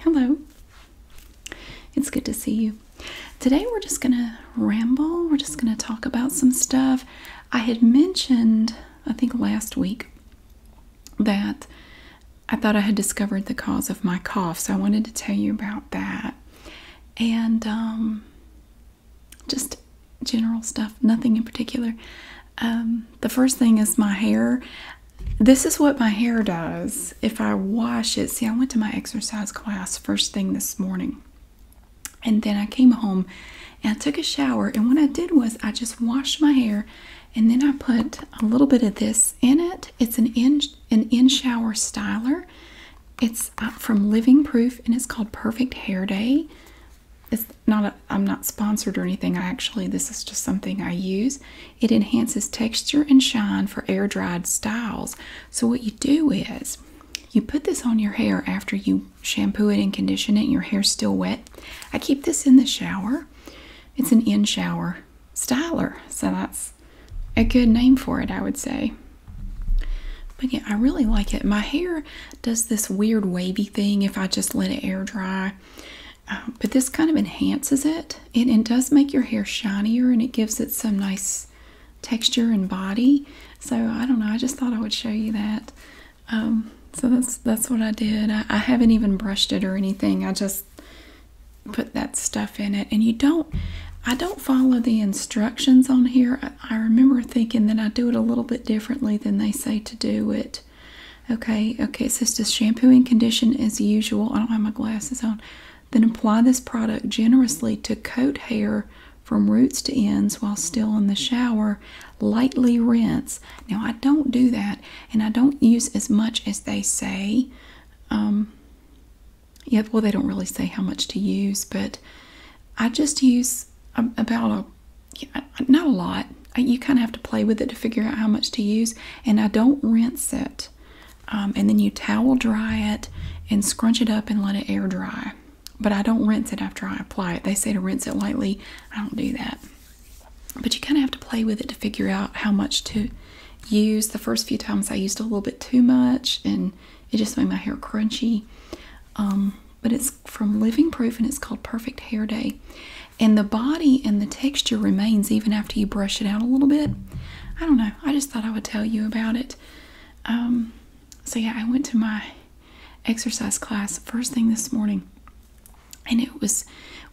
Hello. It's good to see you. Today we're just going to ramble. We're just going to talk about some stuff. I had mentioned, I think last week, that I thought I had discovered the cause of my cough. So I wanted to tell you about that. And um, just general stuff, nothing in particular. Um, the first thing is my hair. This is what my hair does if I wash it. See, I went to my exercise class first thing this morning, and then I came home and I took a shower. And what I did was I just washed my hair, and then I put a little bit of this in it. It's an in an in shower styler. It's uh, from Living Proof, and it's called Perfect Hair Day. It's not. i am not sponsored or anything. actually this is just something I use. It enhances texture and shine for air dried styles. So, what you do is you put this on your hair after you shampoo it and condition it, your hair's still wet. I keep this in the shower. It's an in shower styler, so that's a good name for it, I would say. But yeah, I really like it. My hair does this weird wavy thing if I just let it air dry. Um, but this kind of enhances it. it. does make your hair shinier and it gives it some nice texture and body. So I don't know. I just thought I would show you that. Um, so that's that's what I did. I, haven't even brushed it or anything. I just put that stuff in it. And you don't. I don't follow the instructions on here. I remember thinking that I do it a little bit differently than they say to do it. Okay, okay, Sisters, says shampoo and condition as usual. I don't have my glasses on. Then apply this product generously to coat hair from roots to ends while still in the shower. Lightly rinse. Now, I don't do that and I don't use as much as they say. Um, yeah, well, they don't really say how much to use, but I just use about a, not a lot. You kind of have to play with it to figure out how much to use. And I don't rinse it. Um, and then you towel dry it and scrunch it up and let it air dry. But I don't rinse it after I apply it. They say to rinse it lightly. I don't do that. But you kind of have to play with it to figure out how much to use. The first few times I used a little bit too much and it just made my hair crunchy. Um, but it's from Living Proof and it's called Perfect Hair Day and the body and the texture remains even after you brush it out a little bit. I don't know. I just thought I would tell you about it. Um, so yeah, I went to my exercise class first thing this morning, and it was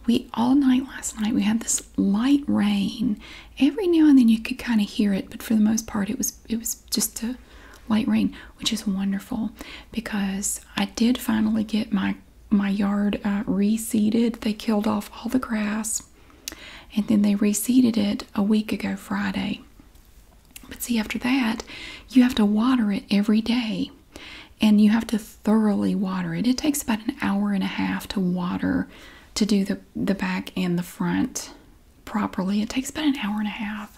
we all night last night we had this light rain. Every now and then you could kind of hear it, but for the most part it was it was just a light rain, which is wonderful because I did finally get my my yard uh, reseeded. They killed off all the grass and then they reseeded it a week ago Friday. But see, after that, you have to water it every day and you have to thoroughly water it. It takes about an hour and a half to water to do the, the back and the front properly. It takes about an hour and a half.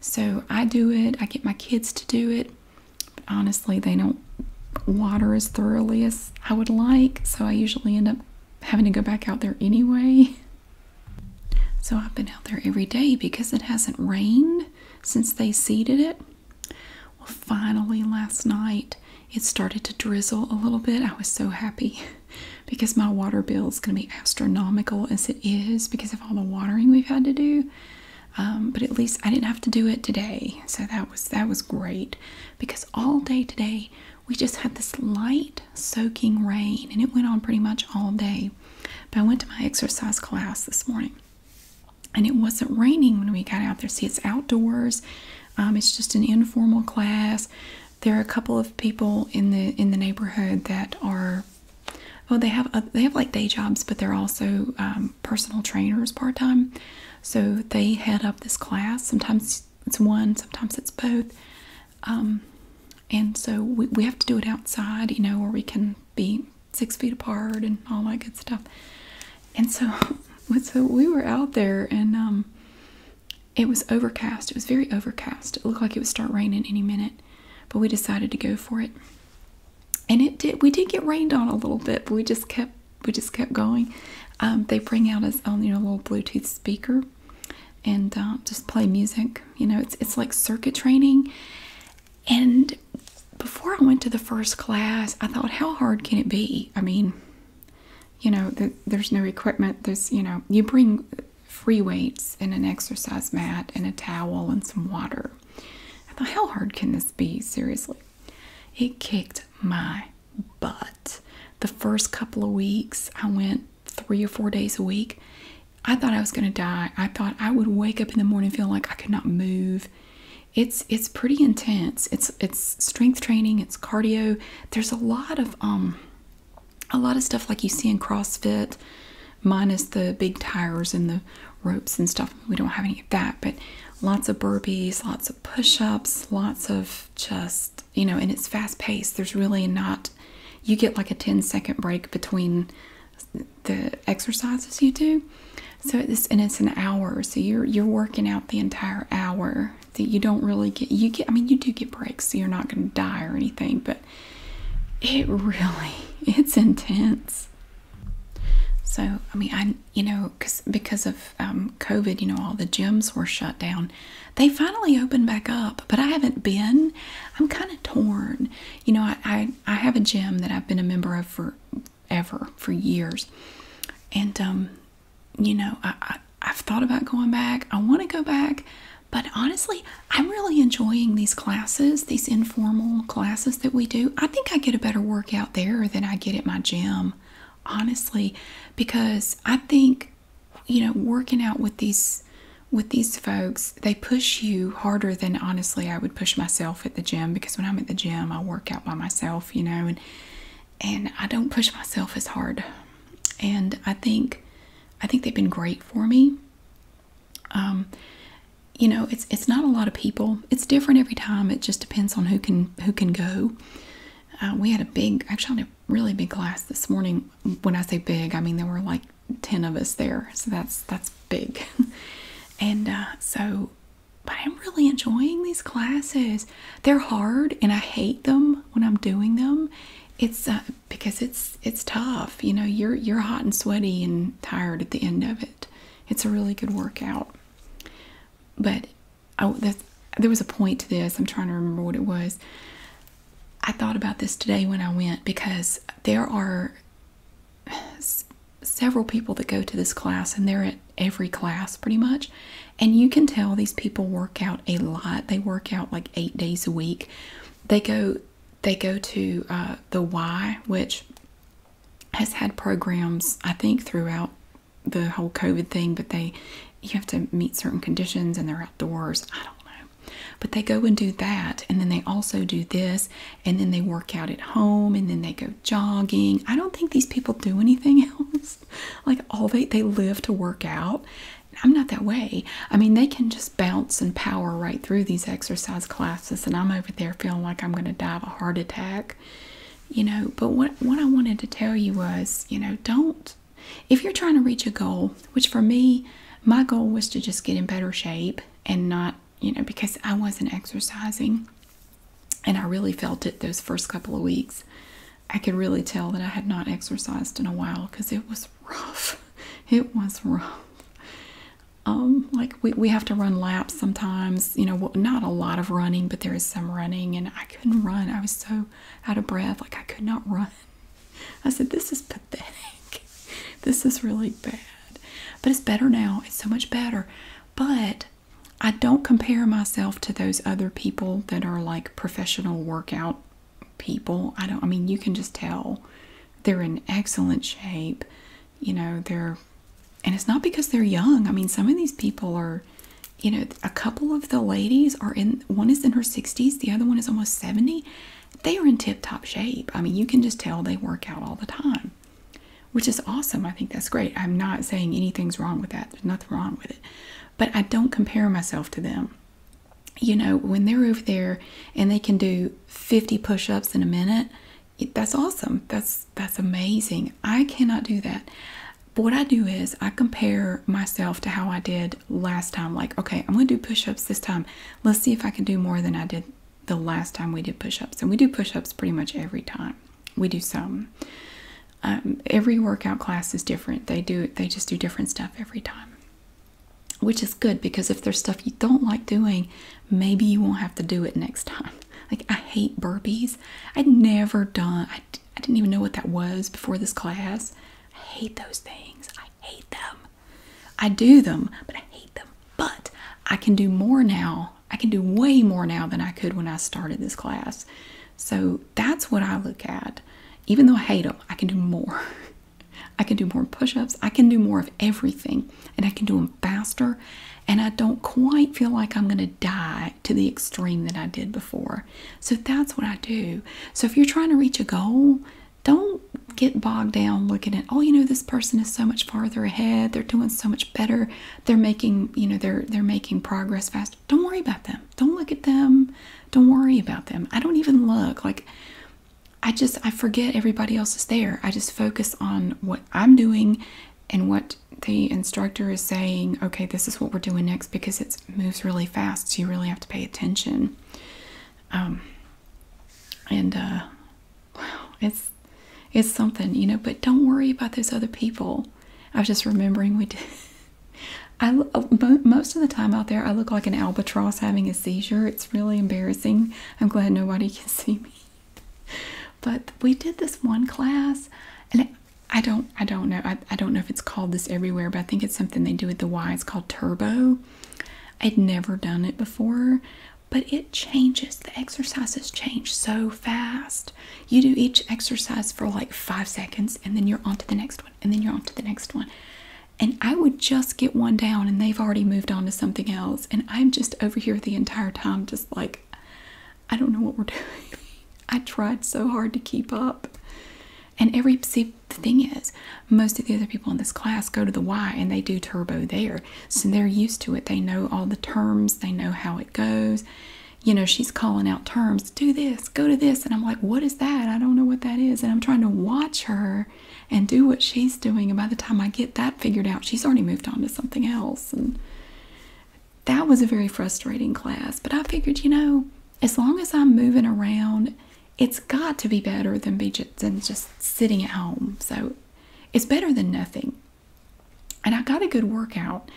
So I do it, I get my kids to do it honestly, they don't water as thoroughly as I would like, so I usually end up having to go back out there anyway. So I've been out there every day because it hasn't rained since they seeded it. Well, finally, last night it started to drizzle a little bit. I was so happy because my water bill is going to be astronomical as it is because of all the watering we've had to do. Um, but at least I didn't have to do it today, so that was that was great because all day today we just had this light soaking rain and it went on pretty much all day. But I went to my exercise class this morning and it wasn't raining when we got out there. See, it's outdoors. Um, it's just an informal class. There are a couple of people in the in the neighborhood that are well, oh, they have uh, they have like day jobs, but they're also um, personal trainers part time. So they head up this class. Sometimes it's one, sometimes it's both. Um, and so we, have to do it outside, you know, or we can be six feet apart and all that good stuff. And so, so we were out there and um, it was overcast. It was very overcast. It looked like it would start raining any minute, but we decided to go for it and it did we did get rained on a little bit but we just kept we just kept going um, they bring out a little bluetooth speaker and um, just play music you know it's, it's like circuit training and before i went to the first class i thought how hard can it be i mean you know there's no equipment there's you know you bring free weights and an exercise mat and a towel and some water I thought, how hard can this be? Seriously. It kicked my butt. The first couple of weeks, I went three or four days a week. I thought I was going to die. I thought I would wake up in the morning feel like I could not move. It's it's pretty intense. It's it's strength training. It's cardio. There's a lot of um, a lot of stuff like you see in CrossFit, minus the big tires and the ropes and stuff. We don't have any of that, but lots of burpees, lots of push ups, lots of just, you know, and it's fast paced. There's really not, you get like a 10 second break between the exercises you do. So it's, and it's an hour. So you're, you're working out the entire hour that you don't really get, you get, I mean, you do get breaks, so you're not going to die or anything, but it really, it's intense. So I mean, I you know because because of um, COVID, you know, all the gyms were shut down. They finally opened back up, but I haven't been. I'm kind of torn. You know, I, I I have a gym that I've been a member of for ever for years, and um, you know, I, I I've thought about going back. I want to go back, but honestly, I'm really enjoying these classes these informal classes that we do, I think I get a better workout there than I get at my gym, honestly, because I think you know working out with these with these folks, they push you harder than honestly I would push myself at the gym because when I'm at the gym, I work out by myself, you know, and and I don't push myself as hard. And I think I think they've been great for me. Um, you know it's it's not a lot of people it's different every time it just depends on who can who can go uh, we had a big actually a really big class this morning when i say big i mean there were like 10 of us there so that's that's big and uh, so but i'm really enjoying these classes they're hard and i hate them when i'm doing them it's uh, because it's it's tough you know you're you're hot and sweaty and tired at the end of it it's a really good workout. But oh, there was a point to this. I'm trying to remember what it was. I thought about this today when I went because there are several people that go to this class and they're at every class pretty much. And you can tell these people work out a lot. They work out like eight days a week. They go they go to uh, the Y, which has had programs, I think, throughout the whole COVID thing, but they you have to meet certain conditions and they're outdoors. I don't know. But they go and do that, and then they also do this, and then they work out at home, and then they go jogging. I don't think these people do anything else. like all they they live to work out. I'm not that way. I mean, they can just bounce and power right through these exercise classes and I'm over there feeling like I'm going to die of a heart attack, you know. But what, what I wanted to tell you was, you know, don't, if you're trying to reach a goal, which for me, my goal was to just get in better shape and not, you know, because I wasn't exercising and I really felt it those first couple of weeks. I could really tell that I had not exercised in a while because it was rough. It was rough um, like we, we have to run laps sometimes, you know, not a lot of running, but there is some running, and I couldn't run. I was so out of breath, like I could not run. I said, This is pathetic. This is really bad. But it's better now. It's so much better. But I don't compare myself to those other people that are like professional workout people. I don't, I mean, you can just tell they're in excellent shape you know, they're, and it's not because they're young. I mean, some of these people are, you know, a couple of the ladies are in, one is in her 60s, the other one is almost 70. They are in tip top shape. I mean, you can just tell they work out all the time, which is awesome. I think that's great. I'm not saying anything's wrong with that, there's nothing wrong with it. But I don't compare myself to them. You know, when they're over there and they can do 50 push ups in a minute, that's awesome. That's that's amazing. I cannot do that. what I do is I compare myself to how I did last time. Like, okay, I'm gonna do push-ups this time. Let's see if I can do more than I did the last time we did push-ups. And we do push-ups pretty much every time. We do some. Um, every workout class is different. They do they just do different stuff every time, which is good because if there's stuff you don't like doing, maybe you won't have to do it next time. Like, I hate burpees. I'd never done, I, didn't even know what that was before this class. I hate those things. I hate them. I do them, but I hate them. But I can do more now. I can do way more now than I could when I started this class. So that's what I look at. Even though I hate them, I can do more. I can do more push ups. I can do more of everything and I can do them faster. And I don't quite feel like I'm going to die to the extreme that I did before. So that's what I do. So if you're trying to reach a goal, don't get bogged down looking at oh you know this person is so much farther ahead they're doing so much better they're making you know they're they're making progress fast don't worry about them don't look at them don't worry about them i don't even look like I just I forget everybody else is there. I just focus on what I'm doing and what the instructor is saying, okay, this is what we're doing next because it moves really fast. So you really have to pay attention. Um, and uh, wow, it's it's something, you know, but don't worry about those other people. I was just remembering we did. I, uh, most of the time out there, I look like an albatross having a seizure. It's really embarrassing. I'm glad nobody can see me. but we did this one class and I don't I don't know I, I don't know if it's called this everywhere but I think it's something they do at the Y it's called turbo I'd never done it before but it changes the exercises change so fast you do each exercise for like five seconds and then you're on to the next one and then you're on to the next one and I would just get one down and they've already moved on to something else and i'm just over here the entire time just like i don't know what we're doing i tried so hard to keep up and every see the thing is most of the other people in this class go to the y and they do turbo there so they're used to it they know all the terms they know how it goes you know she's calling out terms do this go to this and i'm like what is that i don't know what that is and i'm trying to watch her and do what she's doing. And by the time I get that figured out, she's already moved on to something else. And that was a very frustrating class. But I figured, you know, as long as I'm moving around, it's got to be better than be just, just sitting at home. So it's better than nothing. And I got a good workout,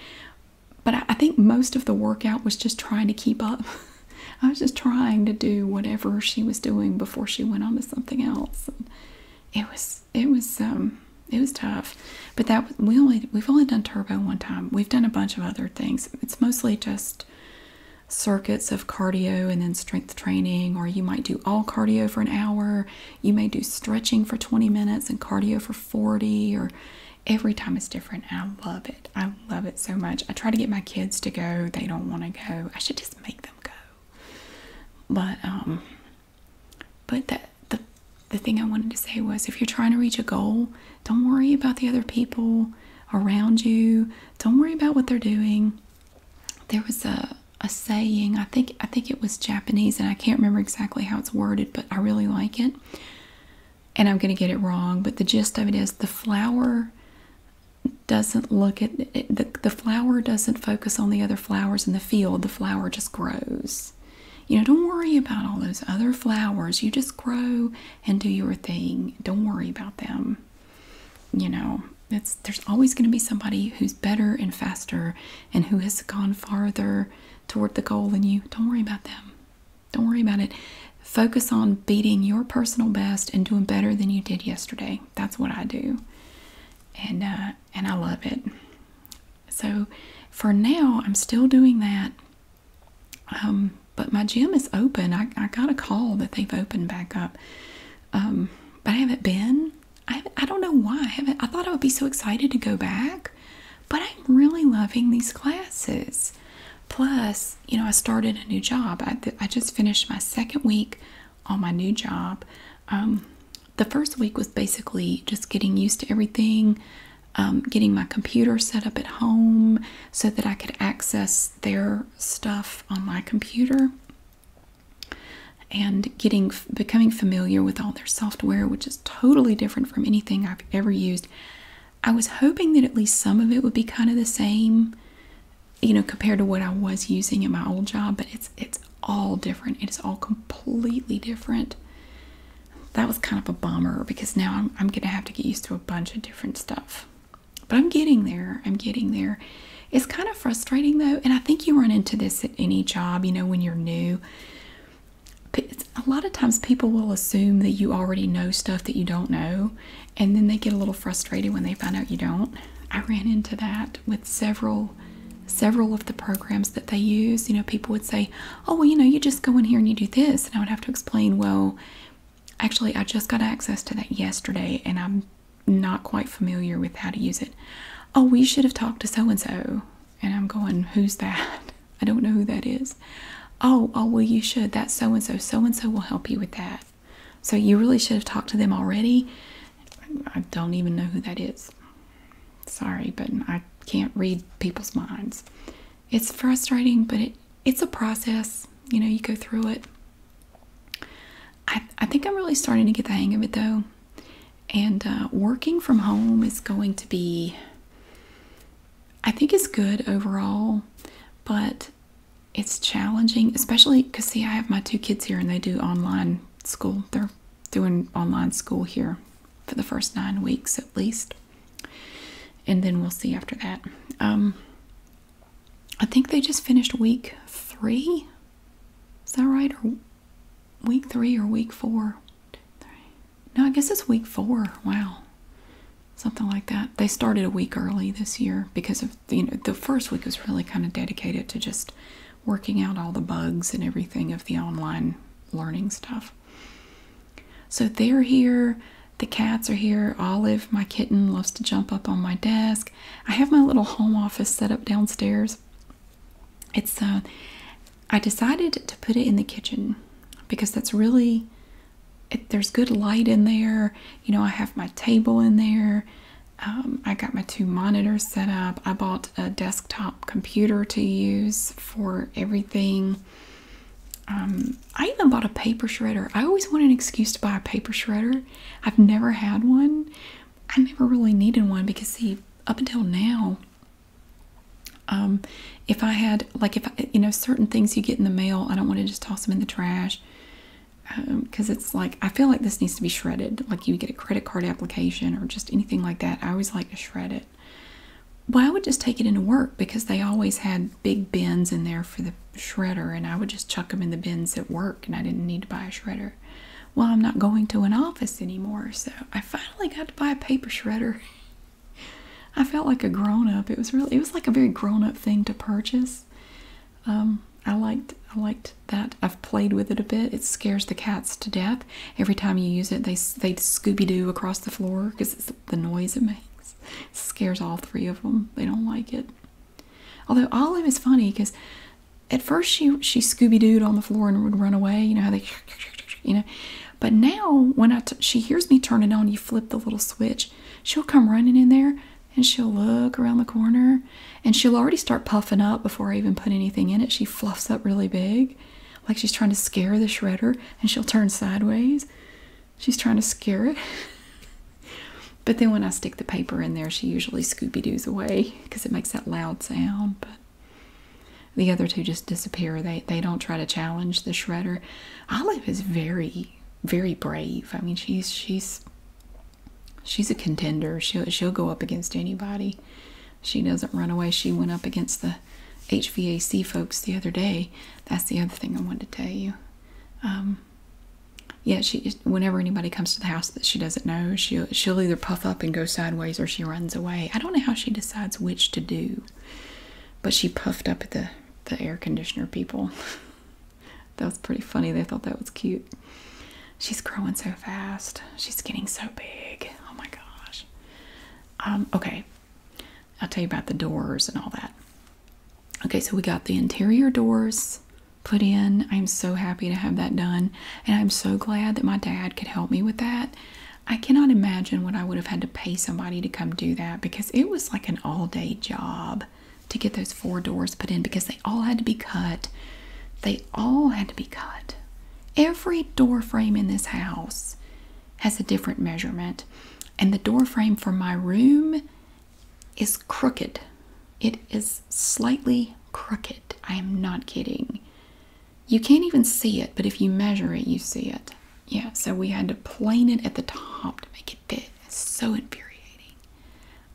but I, think most of the workout was just trying to keep up. I was just trying to do whatever she was doing before she went on to something else it was it was um it was tough but that we only we've only done turbo one time we've done a bunch of other things it's mostly just circuits of cardio and then strength training or you might do all cardio for an hour you may do stretching for 20 minutes and cardio for 40 or every time it's different i love it i love it so much i try to get my kids to go they don't want to go i should just make them go but um, but that the the thing I wanted to say was if you're trying to reach a goal, don't worry about the other people around you. Don't worry about what they're doing. There was a a saying, I think I think it was Japanese and I can't remember exactly how it's worded, but I really like it. And I'm going to get it wrong, but the gist of it is the flower doesn't look at the, the flower doesn't focus on the other flowers in the field the flower just grows you know don't worry about all those other flowers you just grow and do your thing don't worry about them you know there's always going to be somebody who's better and faster and who has gone farther toward the goal than you don't worry about them don't worry about it focus on beating your personal best and doing better than you did yesterday that's what I do, and uh, and I love it. So for now, I'm still doing that. Um, but my gym is open. I, I got a call that they've opened back up, um, but I haven't been. I I don't know why. I haven't. I thought I would be so excited to go back, but I'm really loving these classes. Plus, you know, I started a new job. I I just finished my second week on my new job. Um, the first week was basically just getting used to everything, um, getting my computer set up at home so that I could access their stuff on my computer, and getting becoming familiar with all their software, which is totally different from anything I've ever used. I was hoping that at least some of it would be kind of the same you know compared to what I was using in my old job but it's it's all different it is all completely different that was kind of a bummer because now I'm, I'm gonna have to get used to a bunch of different stuff but I'm getting there I'm getting there it's kind of frustrating though and I think you run into this at any job you know when you're new a lot of times people will assume that you already know stuff that you don't know and then they get a little frustrated when they find out you don't. I ran into that with several several of the programs that they use. You know, people would say, "Oh, well, you know, you just go in here and you do this." And I would have to explain, "Well, actually, I just got access to that yesterday and I'm not quite familiar with how to use it." "Oh, we should have talked to so and so." And I'm going, "Who's that? I don't know who that is." "Oh, oh, well, you should. That so and so. So and so will help you with that." So you really should have talked to them already. I don't even know who that is. Sorry, but I can't read people's minds. It's frustrating, but it's a process. You know, you go through it. I, I think I'm really starting to get the hang of it though. And uh, working from home is going to be, I think it's good overall, but it's challenging, especially because see, I have my two kids here and they do online school. They're doing online school here for the first nine weeks at least. And then we'll see after that. Um, I think they just finished week three. Is that right? Or week three or week four? No, I guess it's week four. Wow. Something like that. They started a week early this year because of you know the first week was really kind of dedicated to just working out all the bugs and everything of the online learning stuff. So they're here. The cats are here. Olive, my kitten, loves to jump up on my desk. I have my little home office set up downstairs. It's uh, I decided to put it in the kitchen because that's really there's good light in there. You know, I have my table in there. Um, I got my two monitors set up. I bought a desktop computer to use for everything. Um, I even bought a paper shredder. I always want an excuse to buy a paper shredder. I've never had one. I never really needed one because, see, up until now, um, if I had, like, if you know, certain things you get in the mail, I don't want to just toss them in the trash because um, it's like I feel like this needs to be shredded. Like you get a credit card application or just anything like that. I always like to shred it. Well, I would just take it into work because they always had big bins in there for the shredder, and I would just chuck them in the bins at work, and I didn't need to buy a shredder. Well, I'm not going to an office anymore, so I finally got to buy a paper shredder. I felt like a grown up. It was really, it was like a very grown up thing to purchase. Um, I liked I liked that. I've played with it a bit. It scares the cats to death. Every time you use it, they they Scooby Doo across the floor because the noise it makes. scares all three of them. They don't like it. Although Olive is funny because at first she she Scooby Dooed on the floor and would run away. You know how they you know. But now when I she hears me turn it on, you flip the little switch. She'll come running in there, and she'll look around the corner and she'll already start puffing up before I even put anything in it. She fluffs up really big, like she's trying to scare the shredder, and she'll turn sideways. She's trying to scare it. but then when I stick the paper in there, she usually Scooby Doo's away because it makes that loud sound. But the other two just disappear. They, they don't try to challenge the shredder. Olive is very, very brave. I mean, she's, she's she's a contender. She'll she'll go up against anybody. She doesn't run away. She went up against the HVAC folks the other day. That's the other thing I wanted to tell you. Um, yeah, she whenever anybody comes to the house that she doesn't know, she'll she'll either puff up and go sideways or she runs away. I don't know how she decides which to do, but she puffed up at the the air conditioner people. that was pretty funny. They thought that was cute. She's growing so fast. She's getting so big. Oh my gosh. Um, okay. I'll tell you about the doors and all that. Okay, so we got the interior doors put in. I'm so happy to have that done. And I'm so glad that my dad could help me with that. I cannot imagine what I would have had to pay somebody to come do that because it was like an all day job to get those four doors put in because they all had to be cut. They all had to be cut. Every door frame in this house has a different measurement, and the door frame for my room is crooked. It is slightly crooked. I am not kidding. You can't even see it, but if you measure it, you see it. Yeah, so we had to plane it at the top to make it fit. It's so infuriating.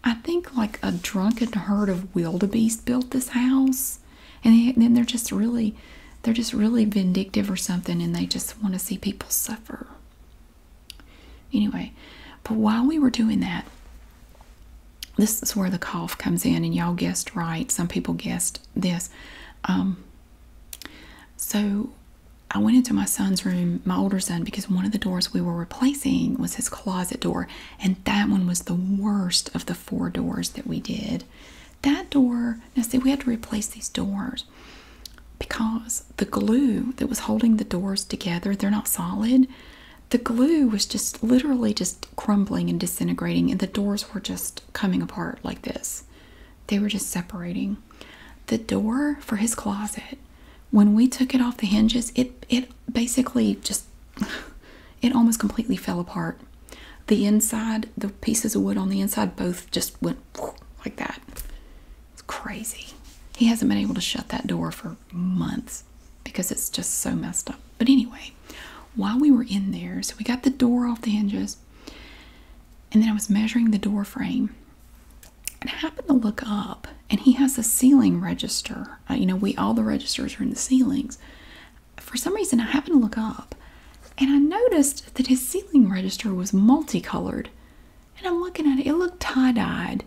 I think like a drunken herd of wildebeest built this house, and, then they're just really, they're just really vindictive or something, and they just want to see people suffer. Anyway, but while we were doing that, this is where the cough comes in, and y'all guessed right. Some people guessed this. Um, so I went into my son's room, my older son, because one of the doors we were replacing was his closet door, and that one was the worst of the four doors that we did. That door, now see, we had to replace these doors because the glue that was holding the doors together, they're not solid. The glue was just literally just crumbling and disintegrating, and the doors were just coming apart like this. They were just separating. The door for his closet when we took it off the hinges, it it basically just it almost completely fell apart. The inside, the pieces of wood on the inside, both just went like that. It's crazy. He hasn't been able to shut that door for months because it's just so messed up. But anyway, while we were in there, so we got the door off the hinges, and then I was measuring the door frame. I happened to look up, and he has a ceiling register. Uh, you know, we all the registers are in the ceilings. For some reason, I happened to look up, and I noticed that his ceiling register was multicolored. And I'm looking at it; it looked tie-dyed.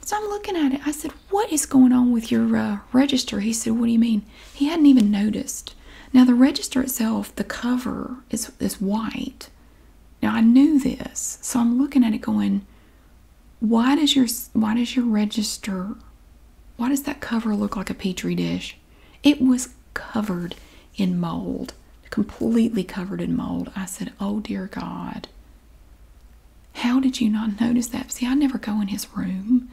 So I'm looking at it. I said, "What is going on with your uh, register?" He said, "What do you mean?" He hadn't even noticed. Now the register itself, the cover is is white. Now I knew this, so I'm looking at it going, why does your why does your register why does that cover look like a petri dish? It was covered in mold, completely covered in mold. I said, "Oh dear God." How did you not notice that? See, I never go in his room.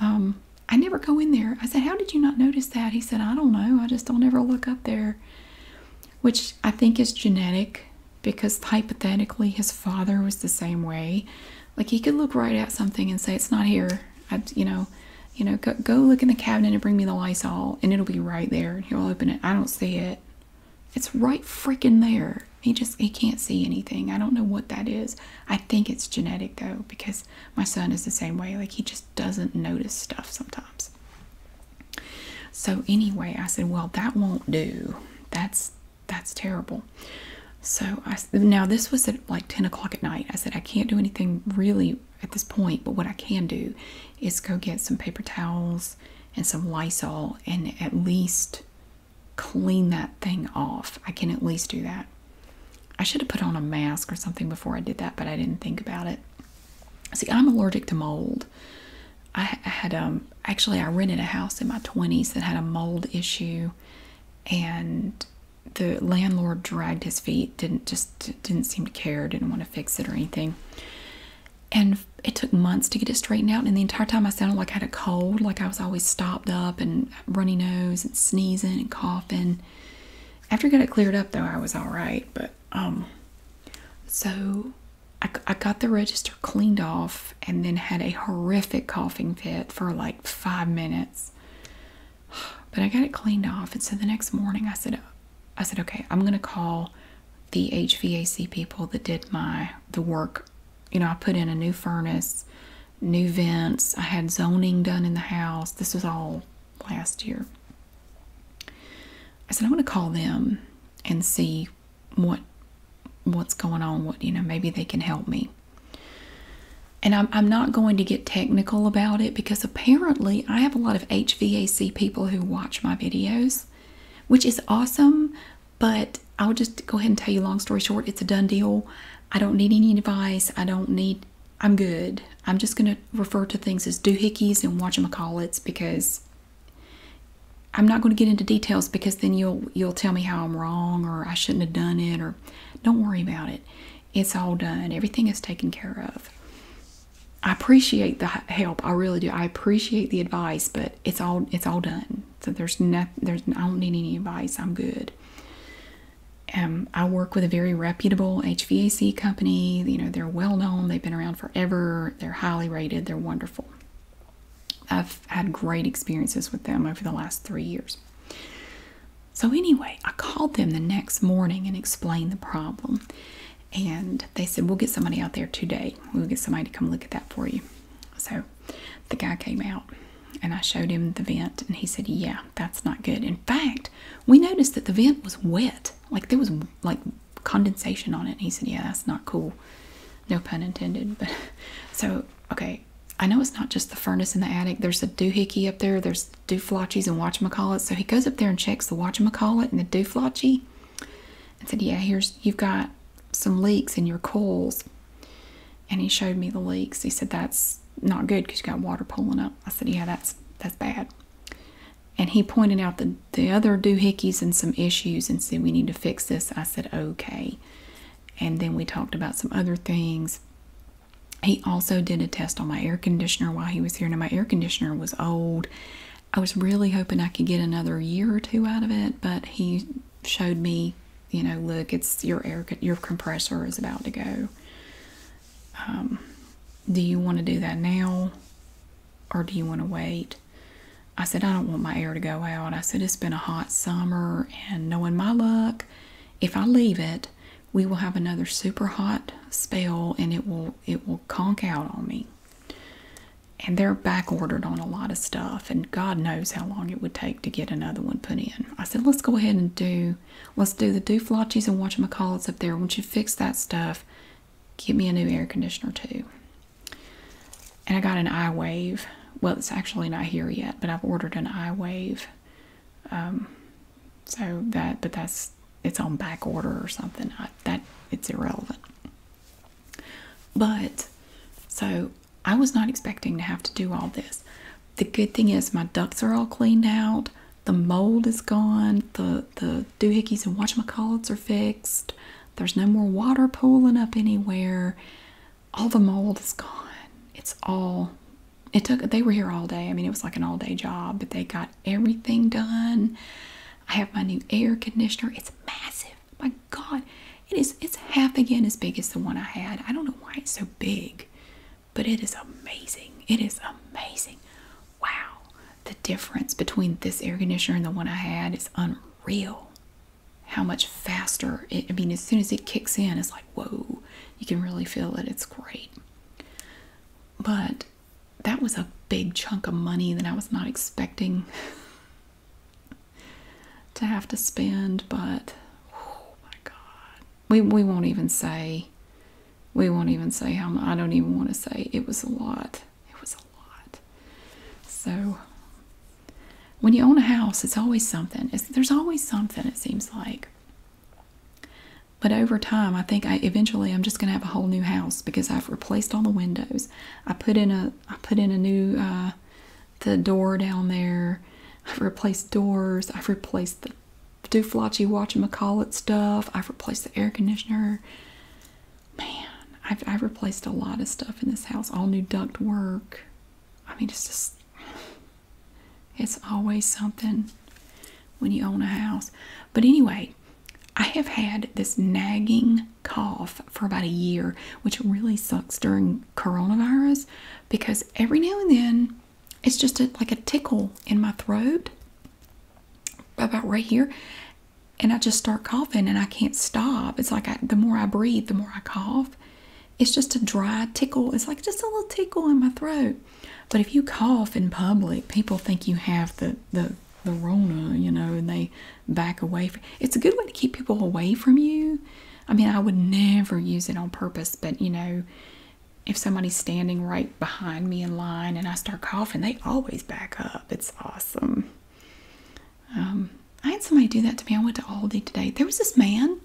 Um, I never go in there. I said, How did you not notice that? He said, I don't know. I just don't ever look up there which I think is genetic because hypothetically his father was the same way. Like he could look right at something and say it's not here. I, would you know, you know, go, go look in the cabinet and bring me the Lysol, and it'll be right there. he'll open it. I don't see it. It's right freaking there. He just he can't see anything. I don't know what that is. I think it's genetic though because my son is the same way. Like he just doesn't notice stuff sometimes. So anyway, I said, "Well, that won't do. That's that's terrible." So I now this was at like ten o'clock at night. I said, "I can't do anything really at this point, but what I can do is go get some paper towels and some Lysol and at least clean that thing off. I can at least do that." I should have put on a mask or something before I did that, but I didn't think about it. See, I'm allergic to mold. I had um actually I rented a house in my 20s that had a mold issue and the landlord dragged his feet didn't just didn't seem to care didn't want to fix it or anything and it took months to get it straightened out and the entire time i sounded like i had a cold like i was always stopped up and runny nose and sneezing and coughing after i got it cleared up though i was all right but um, so I, I got the register cleaned off and then had a horrific coughing fit for like five minutes. But I got it cleaned off, and so the next morning I said, I said, okay, I'm gonna call the HVAC people that did my the work. You know, I put in a new furnace, new vents. I had zoning done in the house. This was all last year. I said i want to call them and see what what's going on. What you know, maybe they can help me. And I'm, I'm not going to get technical about it because apparently I have a lot of HVAC people who watch my videos, which is awesome. But I'll just go ahead and tell you, long story short, it's a done deal. I don't need any advice. I don't need, I'm good. I'm just going to refer to things as doohickeys and watch them whatchamacallits because I'm not going to get into details because then you'll you'll tell me how I'm wrong or I shouldn't have done it or don't worry about it. It's all done. Everything is taken care of. I appreciate the help. I really do. I appreciate the advice, but it's all it's all done. So there's nothing. There's I don't need any advice. I'm good. Um, I work with a very reputable HVAC company. You know they're well known. They've been around forever. They're highly rated. They're wonderful. I've had great experiences with them over the last three years. So, anyway, I called them the next morning and explained the problem. And they said, We'll get somebody out there today. We'll get somebody to come look at that for you. So, the guy came out and I showed him the vent, and he said, Yeah, that's not good. In fact, we noticed that the vent was wet. Like, there was like condensation on it. he said, Yeah, that's not cool. No pun intended. But so, okay, I know it's not just the furnace in the attic. There's a doohickey up there. There's dooflotchies and watchamacallits. So he goes up there and checks the watchamacallit and the dooflotchie and said, Yeah, here's, you've got some leaks in your coils. And he showed me the leaks. He said, That's not good because you got water pooling up. I said, Yeah, that's that's bad and he pointed out the, the other doohickeys and some issues and said, We need to fix this. I said, Okay. And then we talked about some other things. He also did a test on my air conditioner while he was here. Now, my air conditioner was old. I was really hoping I could get another year or two out of it, but he showed me, you know, look, it's your air, your compressor is about to go. Um, do you want to do that now? or do you want to wait? I said, I don't want my air to go out. I said, it's been a hot summer, and knowing my luck, if I leave it, we will have another super hot spell and it will it will conk out on me. And they're back ordered on a lot of stuff, and God knows how long it would take to get another one put in. I said, let's go ahead and do let's do the dooflachies and watch it up there. Once you fix that stuff, Give me a new air conditioner too. And I got an iWave. Well, it's actually not here yet, but I've ordered an iWave. Um, so that, but that's it's on back order or something. that it's irrelevant. But so I was not expecting to have to do all this. The good thing is my ducts are all cleaned out. The mold is gone. The the doohickeys and watch my whatchamacallits are fixed. There's no more water pooling up anywhere. All the mold is gone. It's all, it took, they were here all day. I mean, it was like an all day job, but they got everything done. I have my new air conditioner. It's massive. My God, it is, it's half again as big as the one I had. I don't know why it's so big, but it is amazing. It is amazing. Wow the difference between this air conditioner and the one I had is unreal. How much faster it, I mean, as soon as it kicks in, it's like, whoa, you can really feel it. It's great. But that was a big chunk of money that I was not expecting to have to spend. But oh my God, we, we won't even say we won't even say how much. I don't even want to say it was a lot. It was a lot. So when you own a house, it's always something. there's always something, it seems like. But over time, I think I eventually I'm just going to have a whole new house because I've replaced all the windows. I put in a I put in a new uh, the door down there. I've replaced doors. I've replaced the do flotchy watching McCall stuff. I've replaced the air conditioner. Man, I've, I've replaced a lot of stuff in this house. All new duct work. I mean, it's just, it's always something when you own a house. But anyway, I have had this nagging cough for about a year, which really sucks during coronavirus because every now and then it's just a, like a tickle in my throat about right here and I just start coughing and I can't stop. It's like the more I breathe, the more I cough. It's just a dry tickle. It's like just a little tickle in my throat. But if you cough in public, people think you have the the the Rona, you know, and they back away. From, it's a good way to keep people away from you. I mean, I would never use it on purpose, but you know, if somebody's standing right behind me in line and I start coughing, they always back up. It's awesome. Um, I had somebody do that to me. I went to Aldi today. There was this man.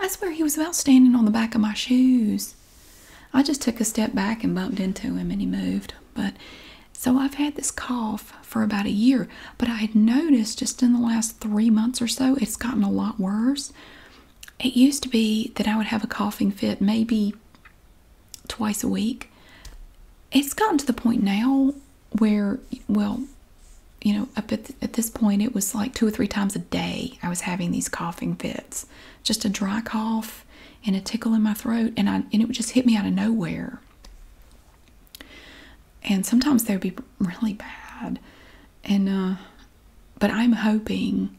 I swear he was about standing on the back of my shoes. I just took a step back and bumped into him and he moved. But so I've had this cough for about a year, but I had noticed just in the last three months or so, it's gotten a lot worse. It used to be that I would have a coughing fit maybe twice a week. It's gotten to the point now where, well, you know, up at, at this point, it was like two or three times a day I was having these coughing fits. Just a dry cough and a tickle in my throat, and, I, and it would just hit me out of nowhere. And sometimes they would be really bad. And, uh, but I'm hoping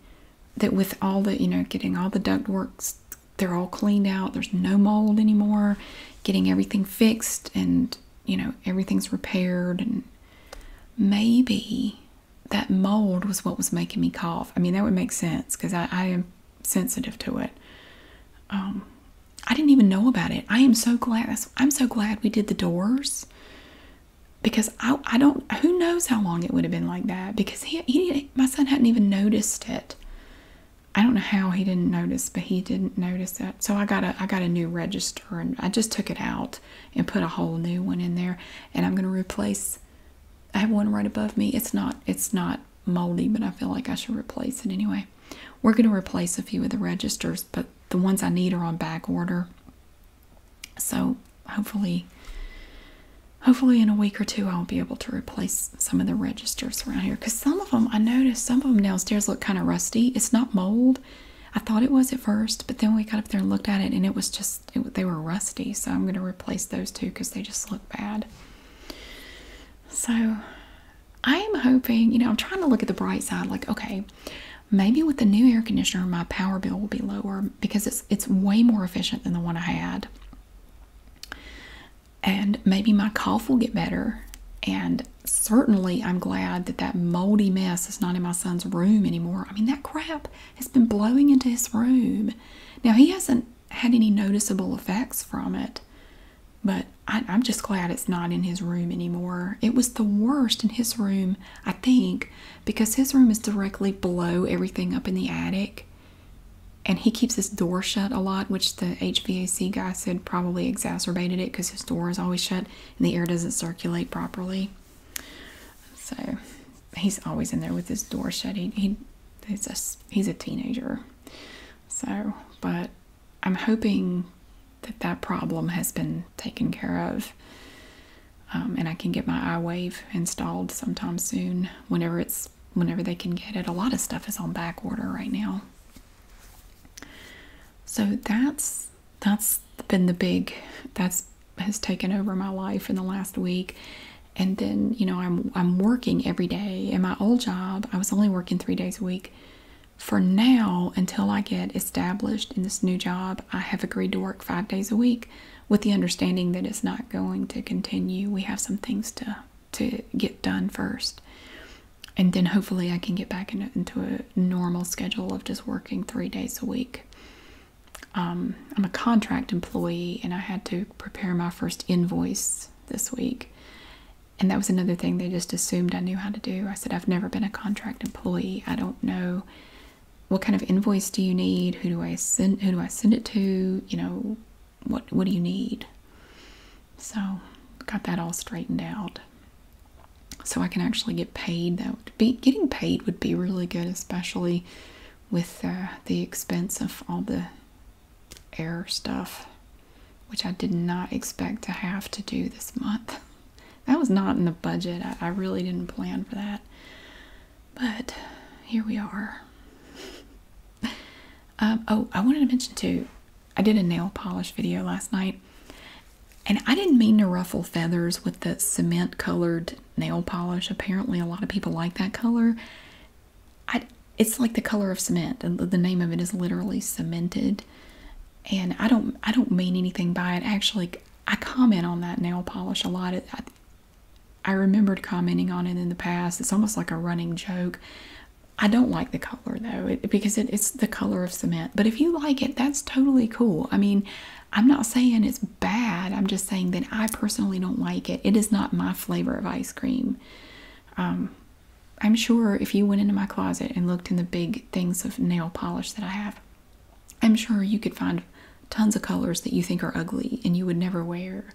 that with all the you know getting all the duct works, they're all cleaned out there's no mold anymore getting everything fixed and you know everything's repaired and maybe that mold was what was making me cough i mean that would make sense because I, I am sensitive to it um i didn't even know about it i am so glad i'm so glad we did the doors because I, I don't who knows how long it would have been like that because he, my son hadn't even noticed it i don't know how he didn't notice but he didn't notice that so i got a i got a new register and i just took it out and put a whole new one in there and i'm going to replace i have one right above me it's not it's not moldy but i feel like i should replace it anyway we're going to replace a few of the registers but the ones i need are on back order so hopefully, hopefully in a week or two I'll be able to replace some of the registers around here. Because some of them, I noticed some of them downstairs look kind of rusty. It's not mold. I thought it was at first, but then we got up there and looked at it and it was just, they were rusty. So I'm going to replace those two because they just look bad. So I am hoping, you know, I'm trying to look at the bright side like, okay, maybe with the new air conditioner, my power bill will be lower because it's it's way more efficient than the one I had. And maybe my cough will get better. And certainly, I'm glad that that moldy mess is not in my son's room anymore. I mean, that crap has been blowing into his room. Now, he hasn't had any noticeable effects from it, but I'm just glad it's not in his room anymore. It was the worst in his room, I think, because his room is directly below everything up in the attic and he keeps his door shut a lot which the hvac guy said probably exacerbated it because his door is always shut and the air doesn't circulate properly so he's always in there with his door shut he's a he's a teenager so but i'm hoping that that problem has been taken care of um, and I can get my iWave installed sometime soon whenever it's whenever they can get it. A lot of stuff is on back order right now. So that's that's been the big that's has taken over my life in the last week. And then, you know, I'm I'm working every day. In my old job, I was only working 3 days a week. For now, until I get established in this new job, I have agreed to work 5 days a week with the understanding that it's not going to continue. We have some things to to get done first. And then hopefully I can get back in, into a normal schedule of just working three days a week. Um, I'm a contract employee and I had to prepare my first invoice this week. And that was another thing they just assumed I knew how to do. I said, I've never been a contract employee. I don't know what kind of invoice do you need? Who do I send who do I send it to? You know, what what do you need? So got that all straightened out. So I can actually get paid. That getting paid would be really good, especially with uh, the expense of all the air stuff, which I did not expect to have to do this month. That was not in the budget. I really didn't plan for that. But here we are. Um, oh, I wanted to mention too, I did a nail polish video last night. And I didn't mean to ruffle feathers with the cement colored nail polish. Apparently, a lot of people like that color. it's like the color of cement, and the name of it is literally cemented. And I don't, I don't mean anything by it. Actually, I comment on that nail polish a lot. It, I, I remembered commenting on it in the past. It's almost like a running joke. I don't like the color though, because it's the color of cement. But if you like it, that's totally cool. I mean, I'm not saying it's bad. I'm just saying that I personally don't like it. It is not my flavor of ice cream. Um, I'm sure if you went into my closet and looked in the big things of nail polish that I have, I'm sure you could find tons of colors that you think are ugly and you would never wear.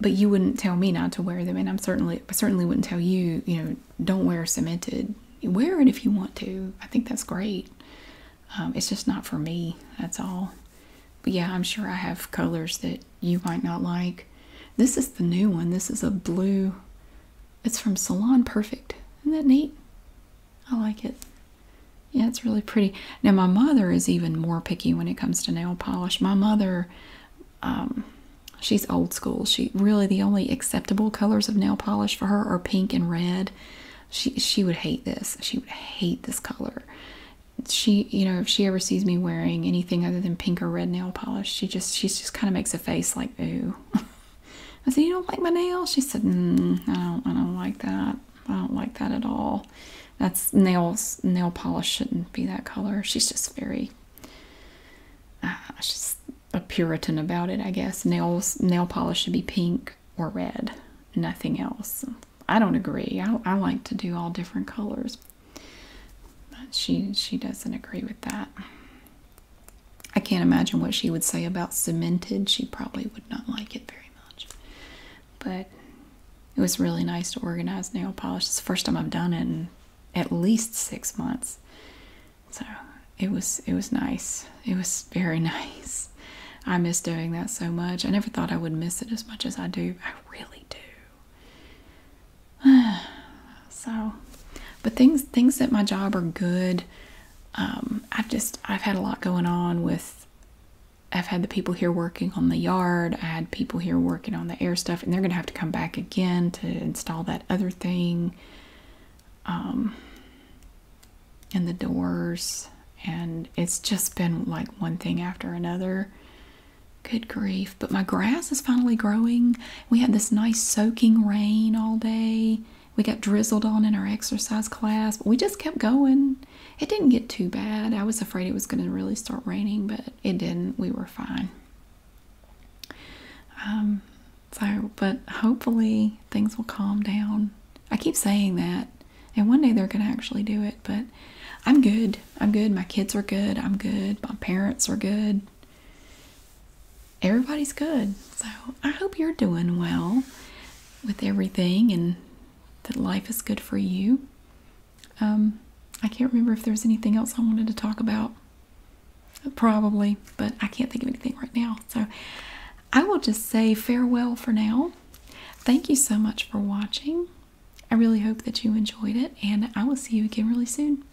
But you wouldn't tell me not to wear them, and I'm certainly certainly wouldn't tell you, you know, don't wear cemented. Wear it if you want to. I think that's great. Um, it's just not for me. That's all. But yeah, I'm sure I have colors that you might not like. This is the new one. This is a blue. It's from Salon Perfect. Isn't that neat? I like it. Yeah, it's really pretty. Now, my mother is even more picky when it comes to nail polish. My mother, um, she's old school. She really, the only acceptable colors of nail polish for her are pink and red. She, she would hate this. She would hate this color. She, you know, if she ever sees me wearing anything other than pink or red nail polish, she just, she just kind of makes a face like, ooh. I said, You don't like my nails? She said, mm, I, don't, I don't like that. I don't like that at all. That's nails, nail polish shouldn't be that color. She's just very, uh, she's a Puritan about it, I guess. Nails, nail polish should be pink or red, nothing else. I don't agree. I, I like to do all different colors. she, she doesn't agree with that. I can't imagine what she would say about cemented. She probably would not like it very much. But it was really nice to organize nail polish. It's the first time I've done it in at least six months. So it was it was nice. It was very nice. I miss doing that so much. I never thought I would miss it as much as I do. I really do. so but things things at my job are good um, I've just I've had a lot going on with I've had the people here working on the yard. I had people here working on the air stuff, and they're gonna have to come back again to install that other thing, um, and the doors. And it's just been like one thing after another. Good grief! But my grass is finally growing. We had this nice soaking rain all day. We got drizzled on in our exercise class, but we just kept going. It didn't get too bad. I was afraid it was going to really start raining, but it didn't. We were fine. Um, so, but hopefully things will calm down. I keep saying that, and one day they're going to actually do it, but I'm good. I'm good. My kids are good. I'm good. My parents are good everybody's good. So I hope you're doing well with everything and that life is good for you. Um, I can't remember if there's anything else I wanted to talk about. Probably, but I can't think of anything right now. So I will just say farewell for now. Thank you so much for watching. I really hope that you enjoyed it, and I will see you again really soon.